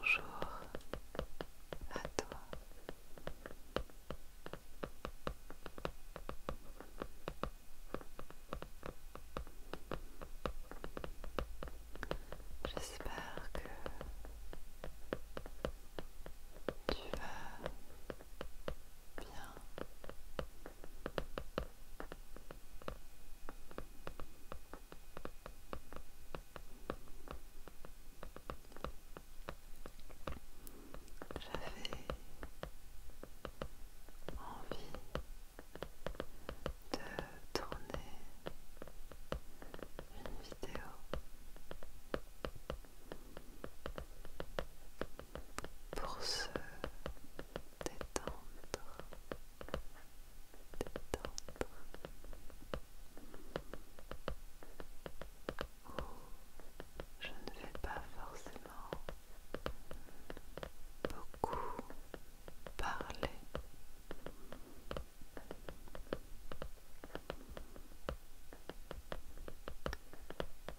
Bonjour à toi. J'espère que tu vas bien. J'avais envie de tourner une vidéo pour se détendre, détendre je ne vais pas forcément beaucoup parler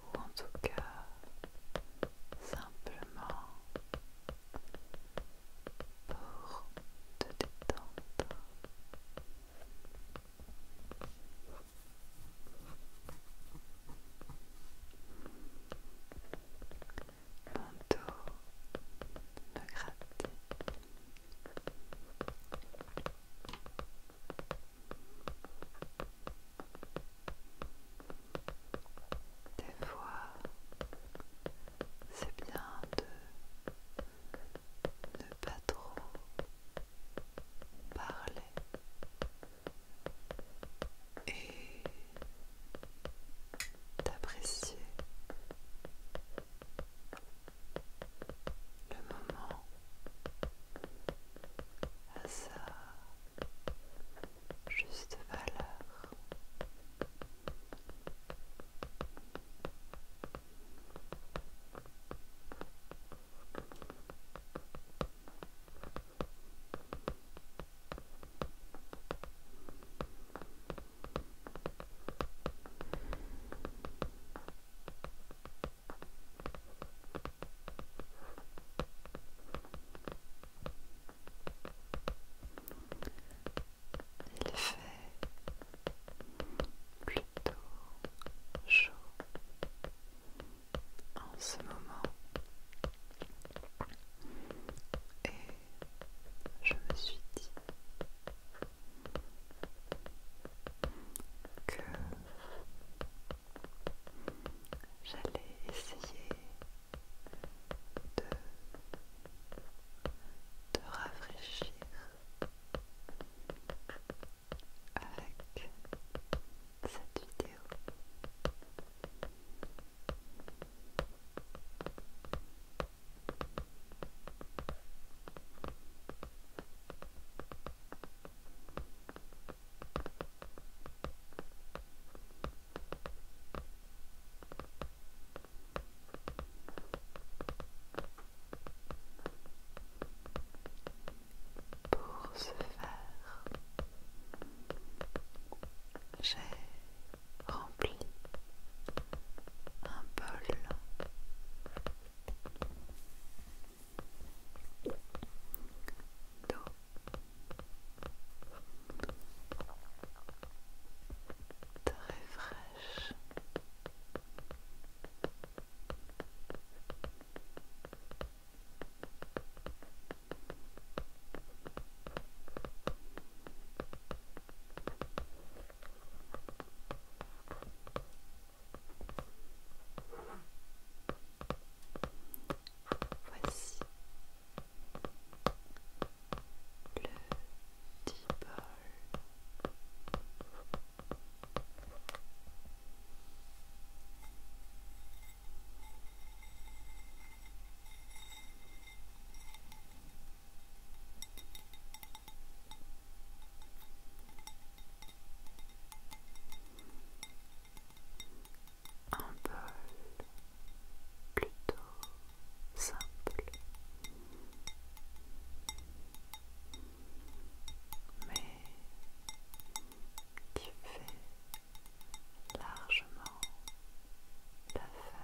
Ou en tout cas, simplement pour te détendre. Mon dos me gratte. Des fois, c'est bien de ne pas trop Parler et d'apprécier le moment à sa juste valeur. Il fait plutôt chaud en ce moment et je me suis dit que j'allais essayer de te rafraîchir avec cette vidéo. Pour ce faire, j'ai rempli un bol d'eau. Très fraîche, Voici le t un bol plutôt simple mais qui fait largement l'affaire.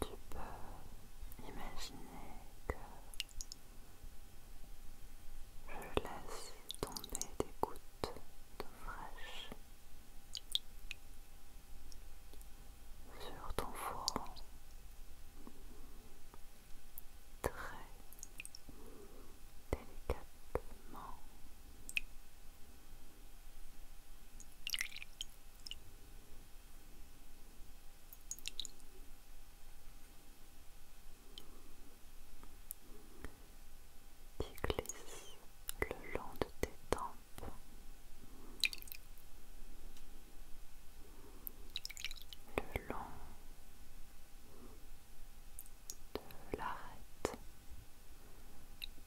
Tu peux imaginer que je laisse tomber des gouttes d'eau fraîche sur ton front très délicatement. Qui glisse le long de tes dents le long de l'arête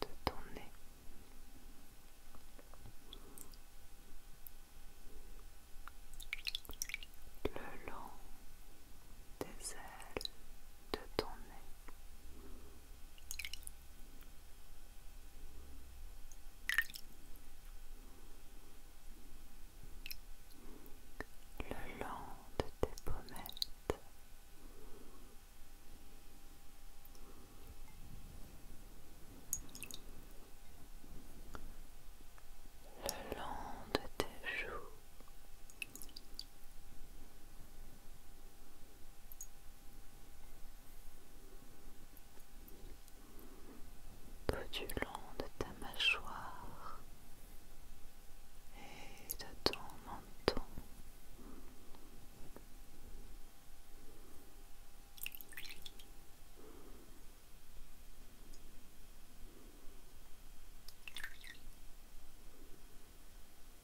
de ton nez. Le long des ailes de ton nez le long de tes pommettes. Le long de tes joues, tout du long de ta mâchoire et de ton menton.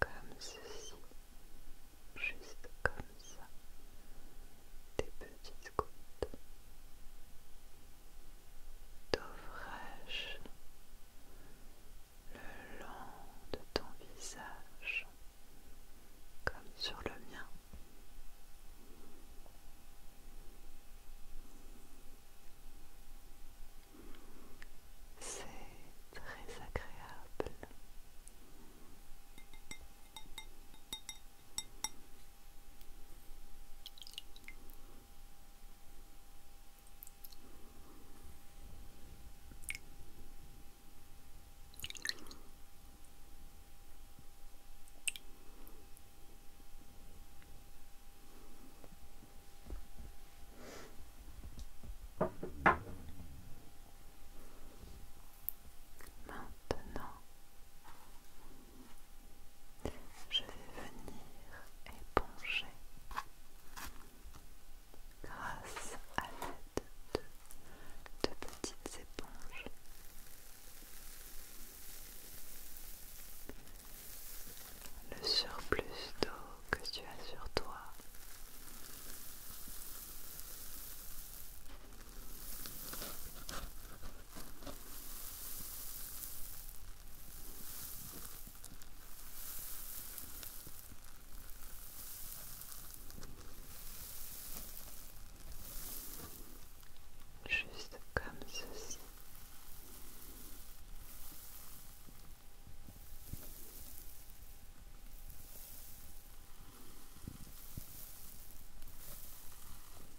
Comme ceci, juste comme ça, des petites gouttes d'eau fraîche le long de ton visage comme sur le mien. C'est très agréable. Maintenant, je vais venir grâce à l'aide de petites éponges. Le surplus d'eau que tu as sur toi Juste comme ceci.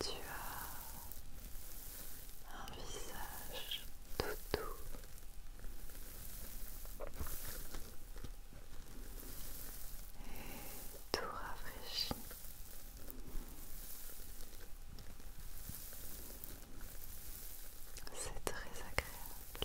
Tu as un visage tout doux et tout rafraîchi. C'est très agréable.